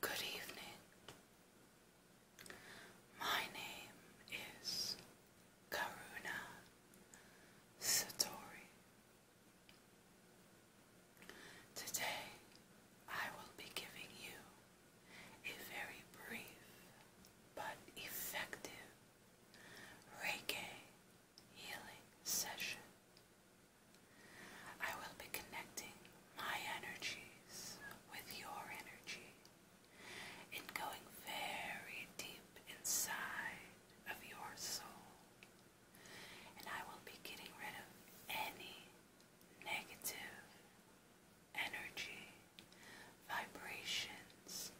Good evening. My name is Karuna Satori. Today I will be giving you a very brief but effective Reiki healing session. I will be connecting my energies with your energy and going very deep inside of your soul. And I will be getting rid of any negative energy, vibrations,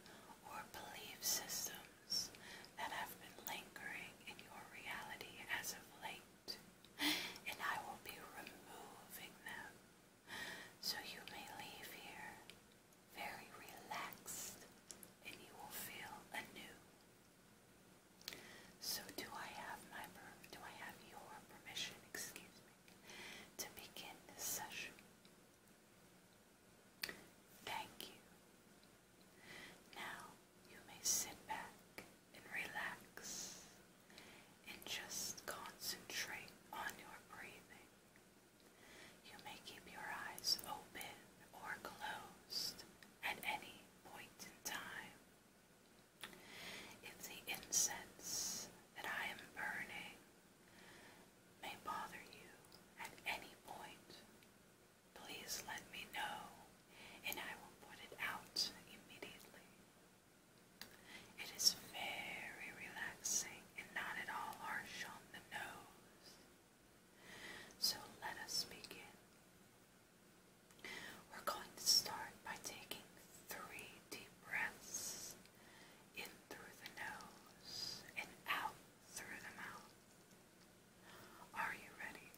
or belief systems that have been lingering in your reality as of late, and I will be removing them so you may leave here very relaxed and you will feel anew. So do I have my do I have your permission, excuse me, to begin this session. Thank you. Now you may sit back and relax and just concentrate on your breathing. You may keep your eyes open or closed at any point in time. If the incense that I am burning may bother you at any point, please let me know and I will put it out immediately. It is very relaxing and not at all harsh on the nose. So let us begin. We're going to start by taking three deep breaths in through the nose and out through the mouth. Are you ready?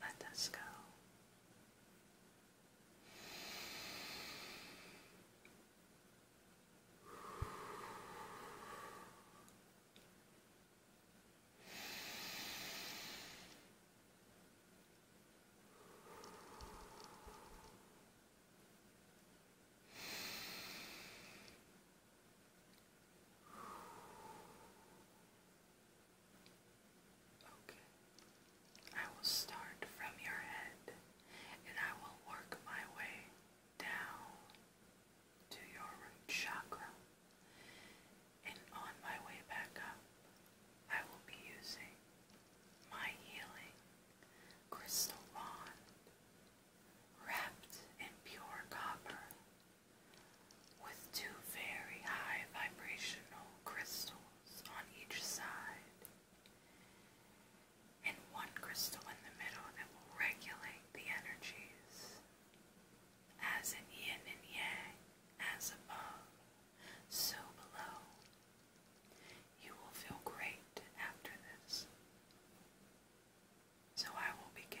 Let us go. Okay. I will start from your head and I will work my way down to your root chakra. And on my way back up, I will be using my healing crystal wand wrapped in pure copper with two very high vibrational crystals on each side and one crystal in the middle that will regulate the energies as in yin and yang, as above, so below. You will feel great after this. So I will begin.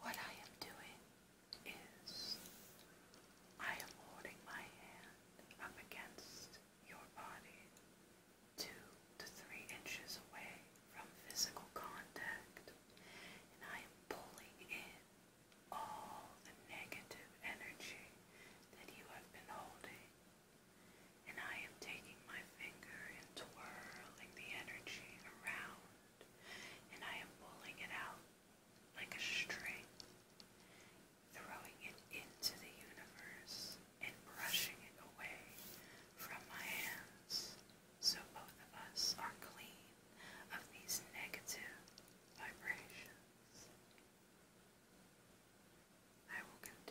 What I am doing is I am holding my hand up against your body to to three inches away from physical contact, and I am pulling in all the negative energy that you have been holding. And I am taking my finger and twirling the energy around, and I am pulling it out like a string, throwing it into the universe and brushing it away from my hands so both of us are clean of these negative vibrations. I will continue.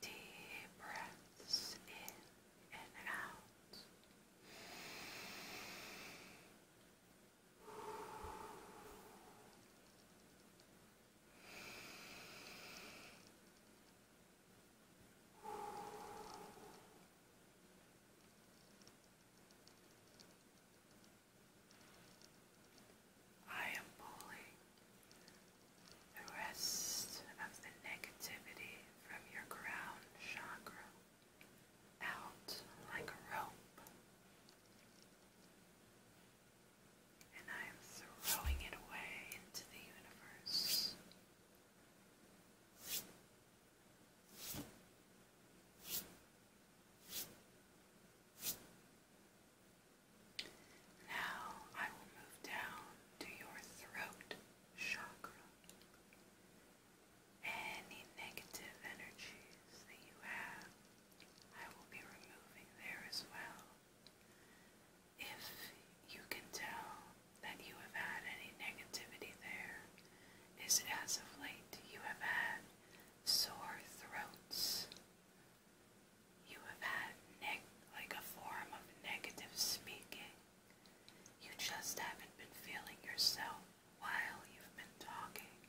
Deep breaths in and out. I am pulling the rest of the negativity from your crown chakra out like a rope, and I am throwing it away into the universe. Now I will move down to your throat chakra. Any negative energies that you have, I will be removing there as well. If you can tell that you have had any negativity there, is as of late you have had sore throats. You have had like a form of negative speaking. You just haven't been feeling yourself while you've been talking.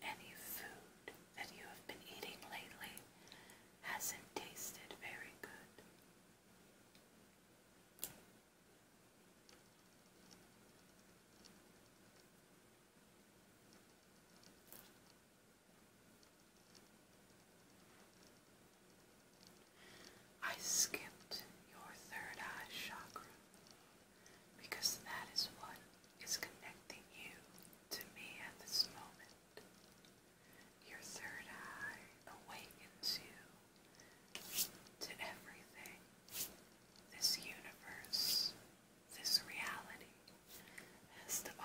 Any food that you have been eating lately hasn't tasted very good. I skipped your third eye chakra because that is what is connecting you to me at this moment. Your third eye awakens you to everything this universe this reality has to offer.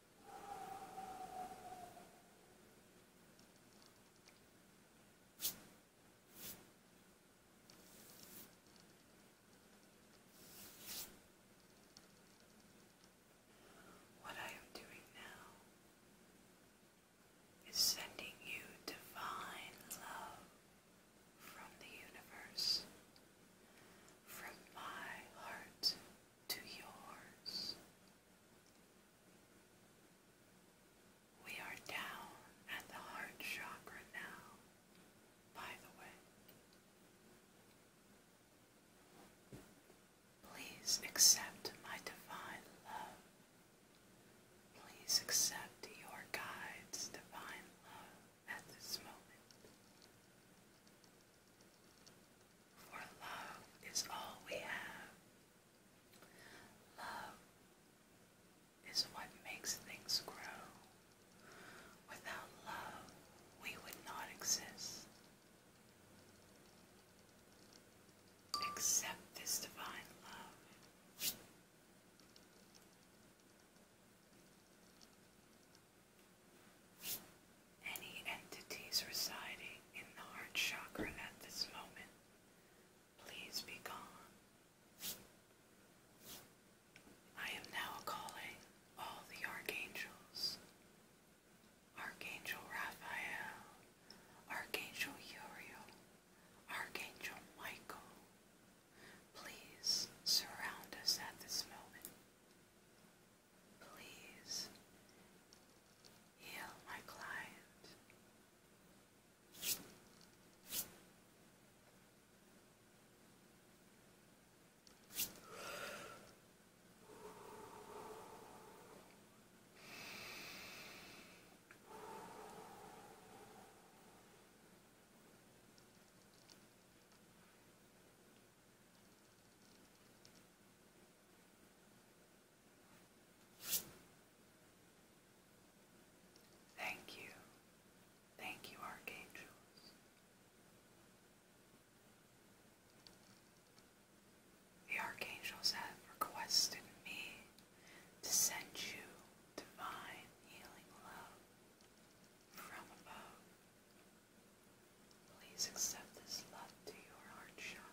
What I am doing now is sending you divine love from the universe, from my heart to yours we are down at the heart chakra now, by the way. Please accept my divine love. Please accept your guide's divine love at this moment. For love is all we have. Love is what makes things grow. Without love, we would not exist. Accept this divine love any entities residing in the heart chakra at this moment, please be gone. I am now calling all the archangels Archangel Raphael, Archangel Uriel, Archangel Michael. Please surround us at this moment. Please heal my client. Thank you. Thank you, archangels. The archangels have requested me to send you divine healing love from above. Please accept this love to your heart Shankar.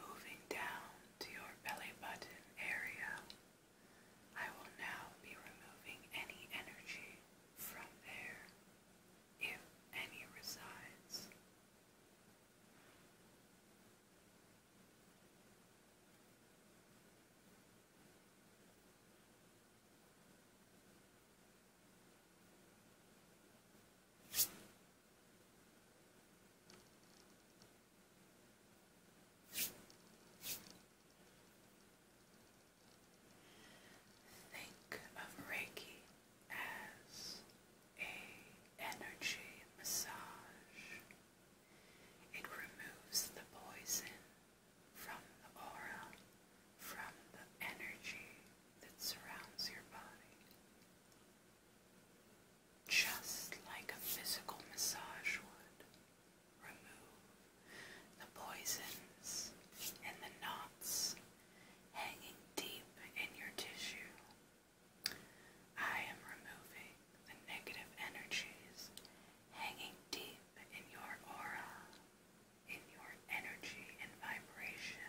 Moving down to your belly button area, I will now be removing any energy from there, if any resides. Think of Reiki as a energy massage. It removes the poison from the aura, from the energy that surrounds your body. Just like a physical massage would remove the poisons and the knots hanging deep in your tissue, I am removing the negative energies hanging deep in your aura, in your energy and vibration.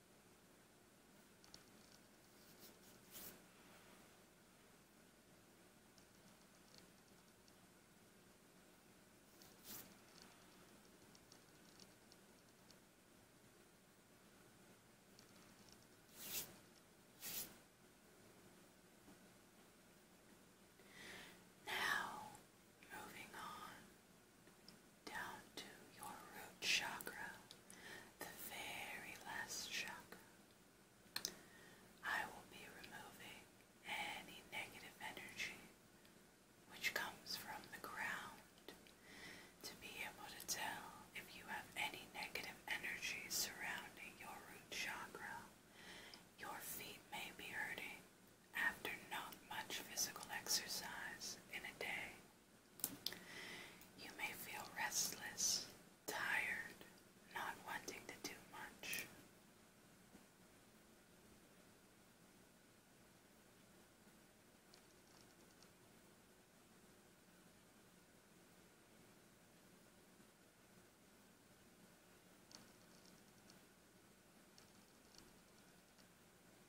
Now, moving on down to your root chakra, the very last chakra. I will be removing any negative energy which comes from the ground to be able to tell if you have any negative energy surrounding your root chakra. Your feet may be hurting after not much physical exercise in a day. You may feel restless, tired, not wanting to do much.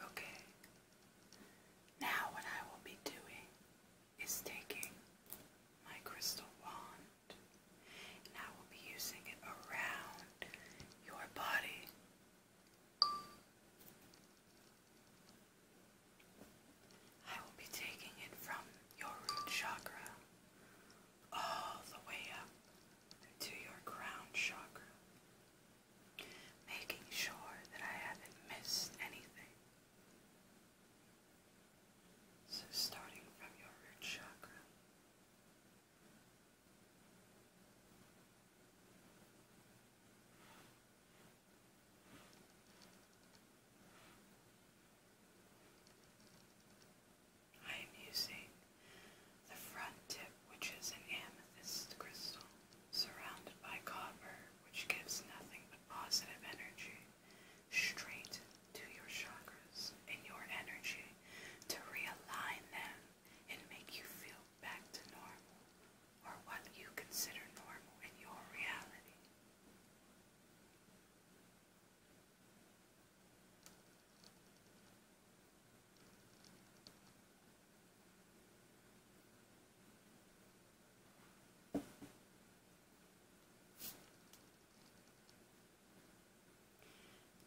Okay. Now, what I will be doing is taking my crystal wand and I will be using it around your body. I will be taking it from your root chakra all the way up to your crown chakra making sure that I haven't missed anything. So, starting from your root chakra, I am using the front tip, which is an amethyst crystal, surrounded by copper, which gives nothing but positive energy straight to your chakras and your energy to realign them and make you feel back to normal or what you consider normal in your reality.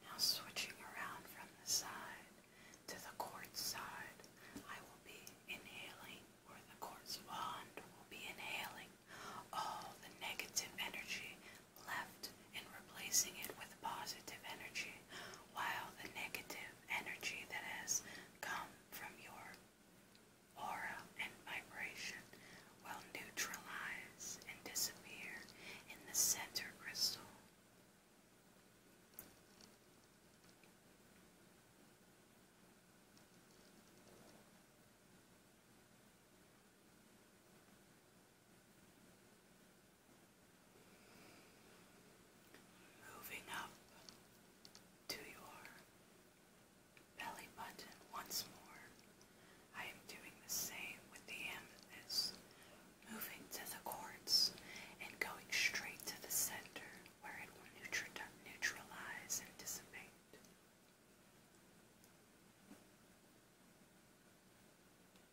Now switching around from the side to the court side, I will be inhaling, or the court's wand will be inhaling all the negative energy left and replacing it with positive energy, while the negative energy that has come from your aura and vibration will neutralize and disappear in the center crystal. Moving up to your belly button once more. I am doing the same with the amethyst, moving to the quartz and going straight to the center where it will neutralize and dissipate.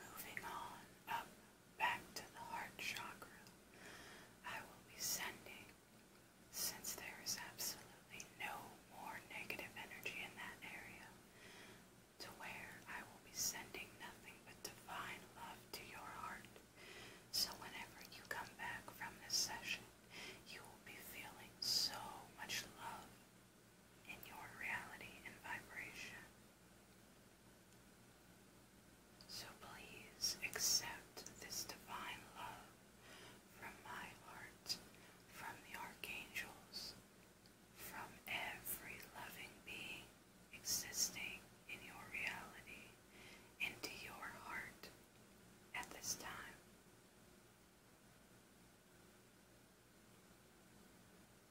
Moving on up back to the heart chakra, I will be sending, since there is absolutely no more negative energy in that area, to where I will be sending nothing but divine love to your heart. So whenever you come back from this session, you will be feeling so much love in your reality and vibration. So please accept this divine love from my heart, from the archangels, from every loving being existing in your reality, into your heart at this time.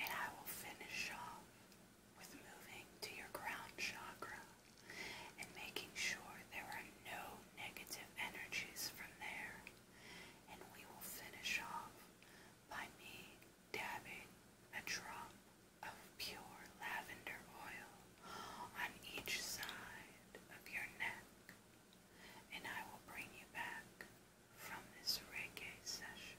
And I will finish off with moving to your ground chakra and making sure there are no negative energies from there. And we will finish off by me dabbing a drop of pure lavender oil on each side of your neck, and I will bring you back from this reggae session.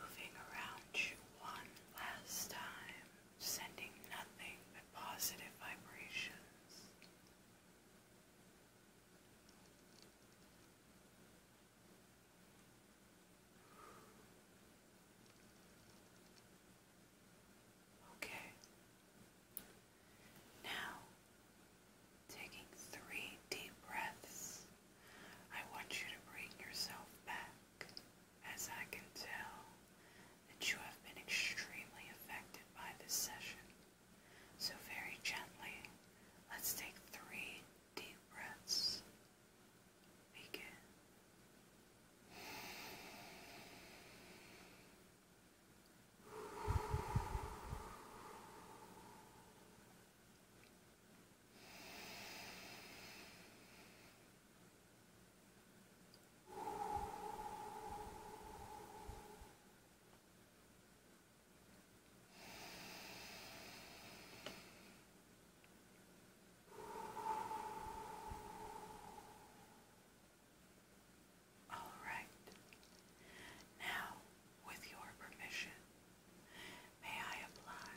Moving around you one last time, sending nothing but positive vibrations. Okay. Now, taking three deep breaths, I want you to bring yourself back. As I can tell that you have been extremely affected by this session. So, very gently, let's take three deep breaths. Begin. All right. Now, with your permission, may I apply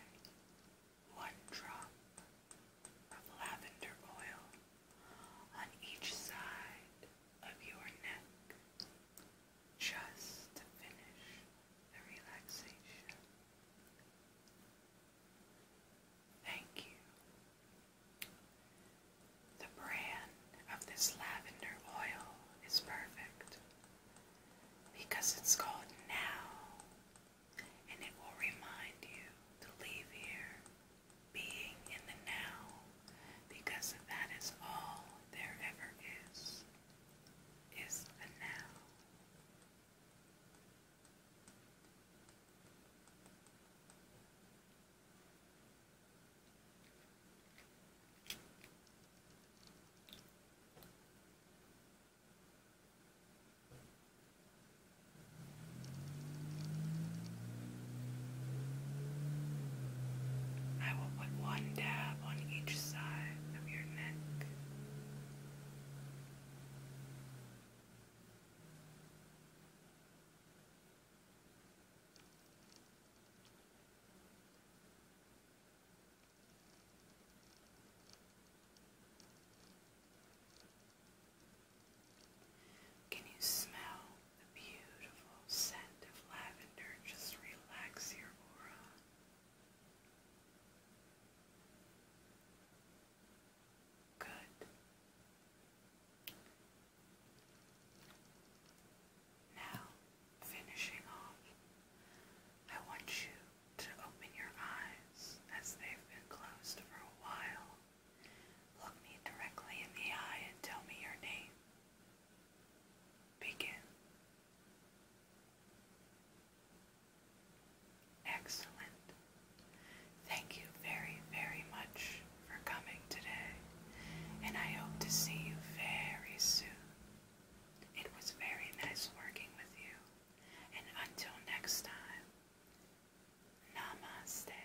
one drop of lavender oil on each side of your neck just to finish the relaxation. Thank you. The brand of this lavender oil is perfect because it's called Now and it will remind you to leave here being in the now, because that is all there ever is, is the now. I will put one dab on each side of your neck. Can you smell the beautiful scent of lavender? Just relax your aura. Good. Now, finishing off, I want you to open your eyes as they've been closed for a while Look me directly in the eye and tell me your name. Begin. Excellent. Thank you very, very much for coming today, and I hope to see you very soon. It was very nice working with you, and until next time, namaste.